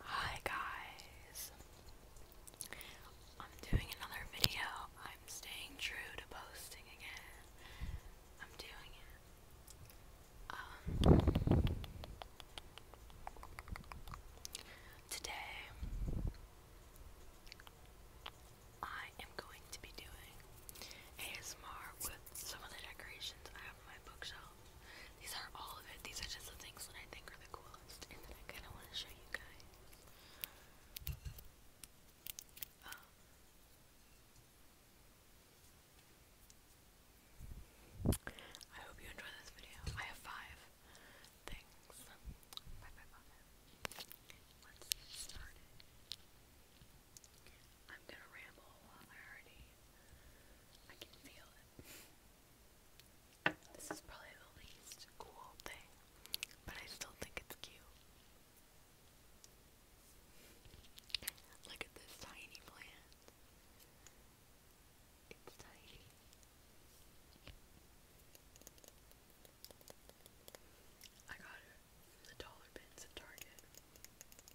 Hi guys. I'm doing another video. I'm staying true to posting again. I'm doing it. Um, today I am going to be doing ASMR with some of the decorations I have on my bookshelf. These are all of it. These are just the things that I think are the coolest and that I kind of want to show you guys. Um, I hope you enjoy this video. I have five things. Bye bye Let's get I'm gonna ramble a lot. I already I can feel it. This is probably the least cool thing, but I still think it's cute. Look at this tiny plant. It's tiny. I got it from the dollar bins at Target.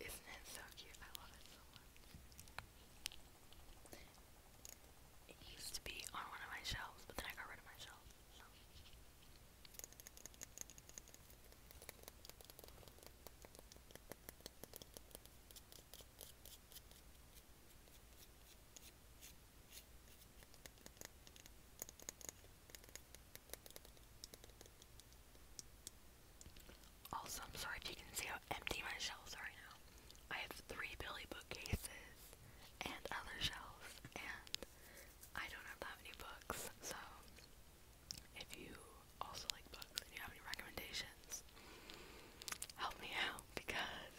Isn't it so cute? I love it so much. It used to be on one of my shelves, but then I got rid of my shelf. Also, I'm sorry if you can see how empty my shelves are now. I have three Billy bookcases and other shelves, and I don't have that many books. So, if you also like books and you have any recommendations, help me out because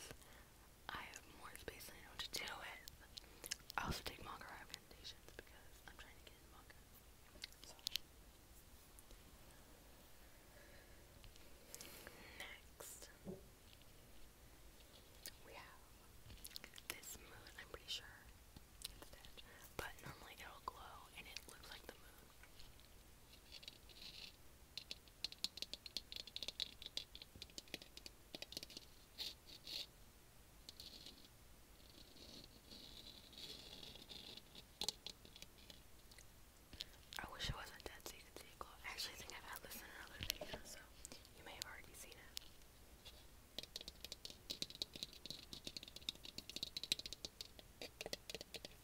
I have more space than I know to do with. I also take manga recommendations because I'm trying to get into manga. So. Next, we have this moon. I'm pretty sure it's dead, but normally it'll glow and it looks like the moon. I wish it wasn't dead so you could see it glow. I actually think I've had this in another video, so you may have already seen it.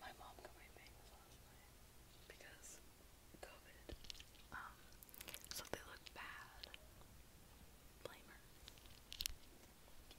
My mom got last night because COVID. Um, so they look bad. Blame her. you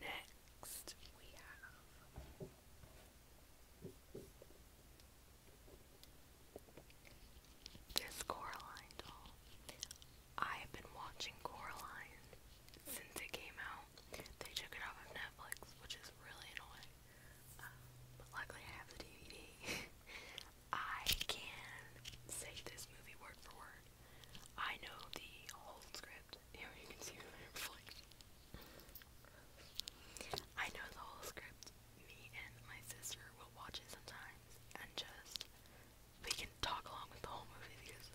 Next, we have. This Coraline doll. I've been watching Coraline since it came out. They took it off of Netflix, which is really annoying. Um, but luckily, I have the DVD. I can say this movie word for word. I know the whole script. Here you can see my reflection. I know the whole script. Me and my sister will watch it sometimes and just we can talk along with the whole movie because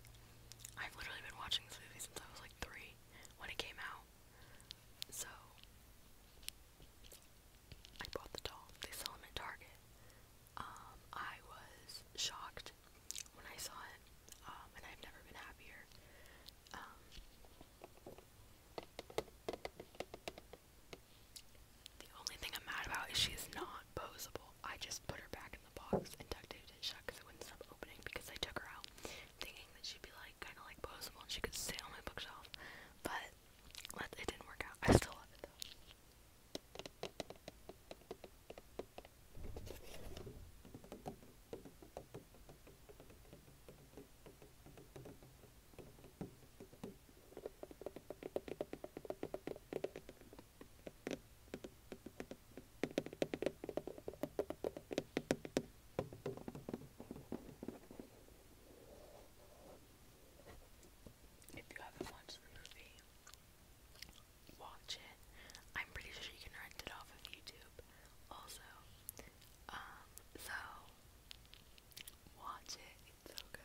I've literally been watching this movie since I was like three when it came out. So I bought the doll. They sell them at Target. Um, I was shocked when I saw it, um, and I've never been happier. Um, the only thing I'm mad about is she's not posable. I just put her back in the box and duct taped it shut because it wouldn't stop opening because I took her out thinking that she'd be like kind of like posable and she could stay on my bookshelf. But let, it didn't work out. I still love it though. If you haven't watched the movie, watch it. I'm pretty sure you can rent it off of YouTube also. Um, so watch it, it's so good.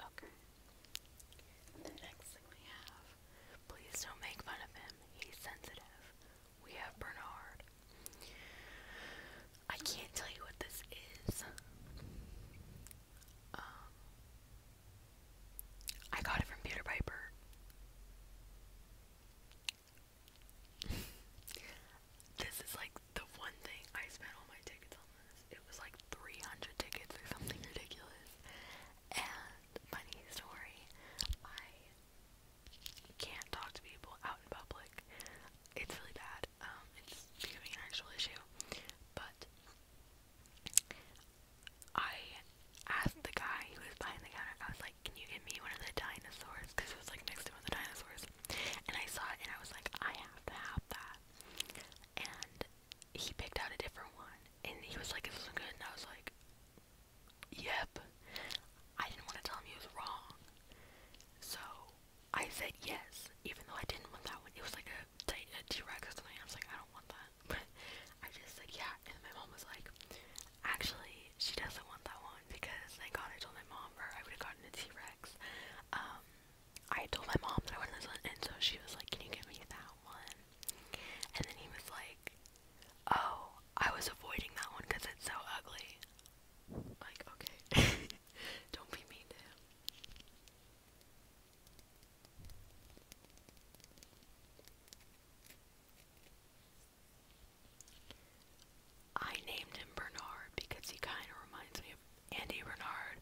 Okay. The next thing we have, please don't make fun of him. He's sensitive. We have Bernard. I can't tell you what this is. Um, I got it from Peter Piper this is like the one thing I spent all my tickets on this. It was like 300 tickets or something ridiculous. And funny story, I can't talk to people out in public. It's really bad. Um, it's becoming an actual issue. But I asked the guy who was behind the counter, I was like, can you get me one of the dinosaurs? Because it was like next to one of the dinosaurs. And I saw it and I was like, I have to have that. And he picked out a different one. And he was like, this isn't good. And I was like, yep. I didn't want to tell him he was wrong. So I said yes, even though I didn't want that one. It was like a, a T-Rex or something. I was like, I don't want that. But I just said yeah. And my mom was like, Actually, she doesn't want that one because thank God I told my mom, or I would have gotten a T Rex. Um, I told my mom that I wanted this one, and so she was like, "Can you give me that one?" And then he was like, "Oh, I was avoiding that one because it's so ugly." Like, okay, don't be mean to him. I named him Bernard because he kind of reminds me of Andy Bernard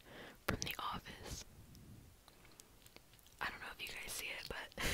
from The Office. I don't know if you guys see it, but.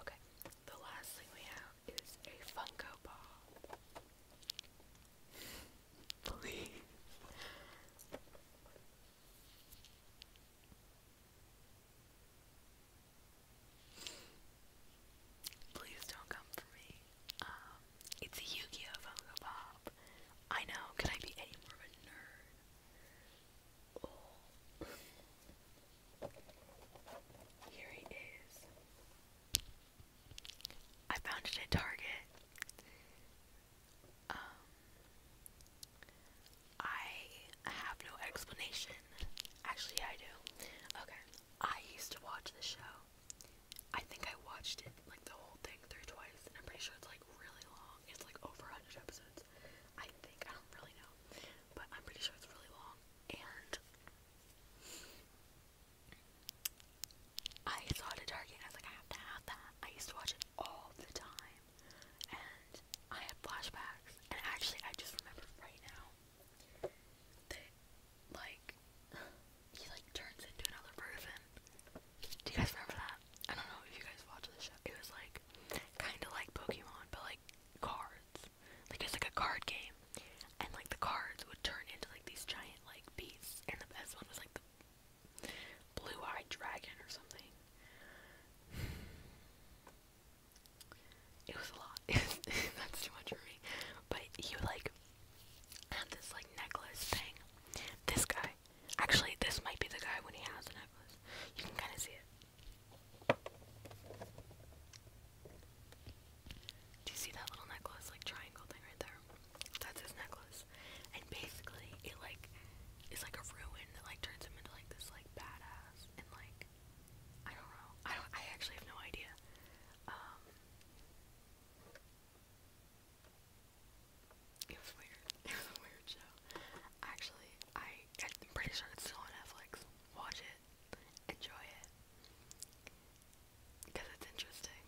Okay, the last thing we have is a Funko Pop. Please. Please don't come for me. Um, it's a Yu-Gi-Oh! Funko Pop. I know, can I be any more of a nerd? Here he is. I found it at Target. Um, I have no explanation. Actually, I do. Okay. I used to watch this show. I think I watched it like the whole thing through twice, and I'm pretty sure it's like really long. It's like over 100 episodes. I think. I don't really know. But I'm pretty sure it's really long. And I saw it at Target I was like, I have to have that. I used to watch it all the time. And I had flashbacks. And actually, I just remember right now that, like, he, like, turns into another person. Do you guys remember that? I don't know if you guys watched the show. It was like kind of like Pokemon, but like cards. Like it's like a card game, and like the cards would turn into like these giant like beasts. And the best one was like the blue-eyed dragon or something. It was a lot. That's too much for me. But you like had this like necklace thing. This guy Actually, this might be the guy when he has the necklace. You can kind of see it. Do you see that little necklace, like triangle thing right there? That's his necklace. And basically, it like is like a ruin that like turns him into like this like badass and like I don't know. I don't. I actually have no idea. Um, it was weird. It was a weird show. Actually, I I'm pretty sure it's still on Netflix. Watch it. Enjoy it. Because it's interesting.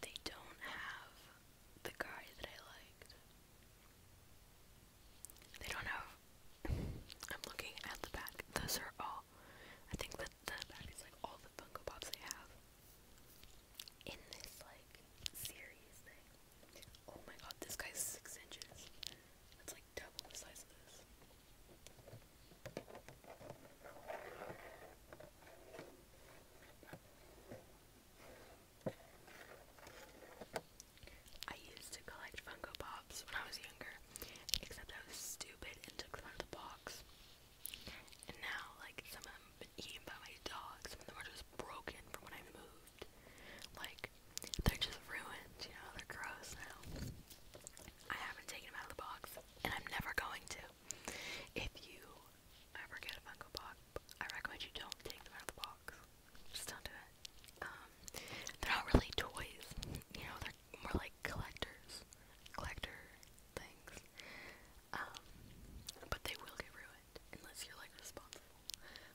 They don't have the guy that I liked. They don't have. I'm looking at the back. Those are all. I think that the back is like all Fungo Bobs. Pops have in this like series thing. Oh my god, this guy's six inches. That's like double the size of this. I used to collect Funko Pops when I was younger, except I was stupid and took them out of the box. And now, like, some of them have been eaten by my dog. Some of them are just broken from when I moved. Like, they're just ruined, you know, they're gross now. I haven't taken them out of the box, and I'm never going to. If you ever get a Funko Pop, I recommend you don't take them out of the box. Just don't do it. Um, they're not really toys, you know, they're more like like collectors, collector things. Um, but they will get ruined unless you're like responsible.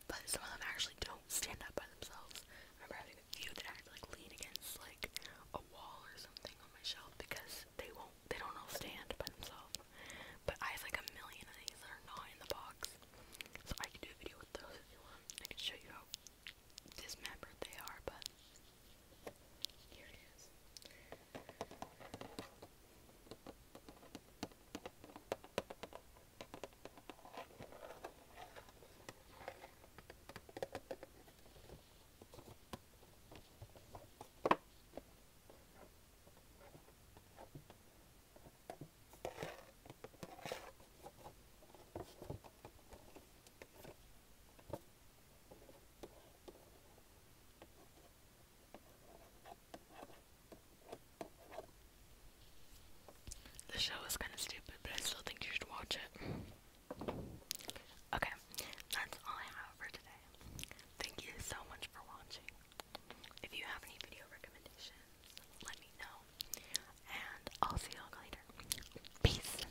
But some of them actually don't stand up by themselves. I remember having a few that I had to like lean against like a wall or something on my shelf because they won't, they don't all stand by themselves. But I have like a million of these that are not in the box. So I could do a video with those if you want. I could show you how dismembered they are, but here it is. The show is kind of stupid, but I still think you should watch it. Okay, that's all I have for today. Thank you so much for watching. If you have any video recommendations, let me know. And I'll see y'all later. Peace.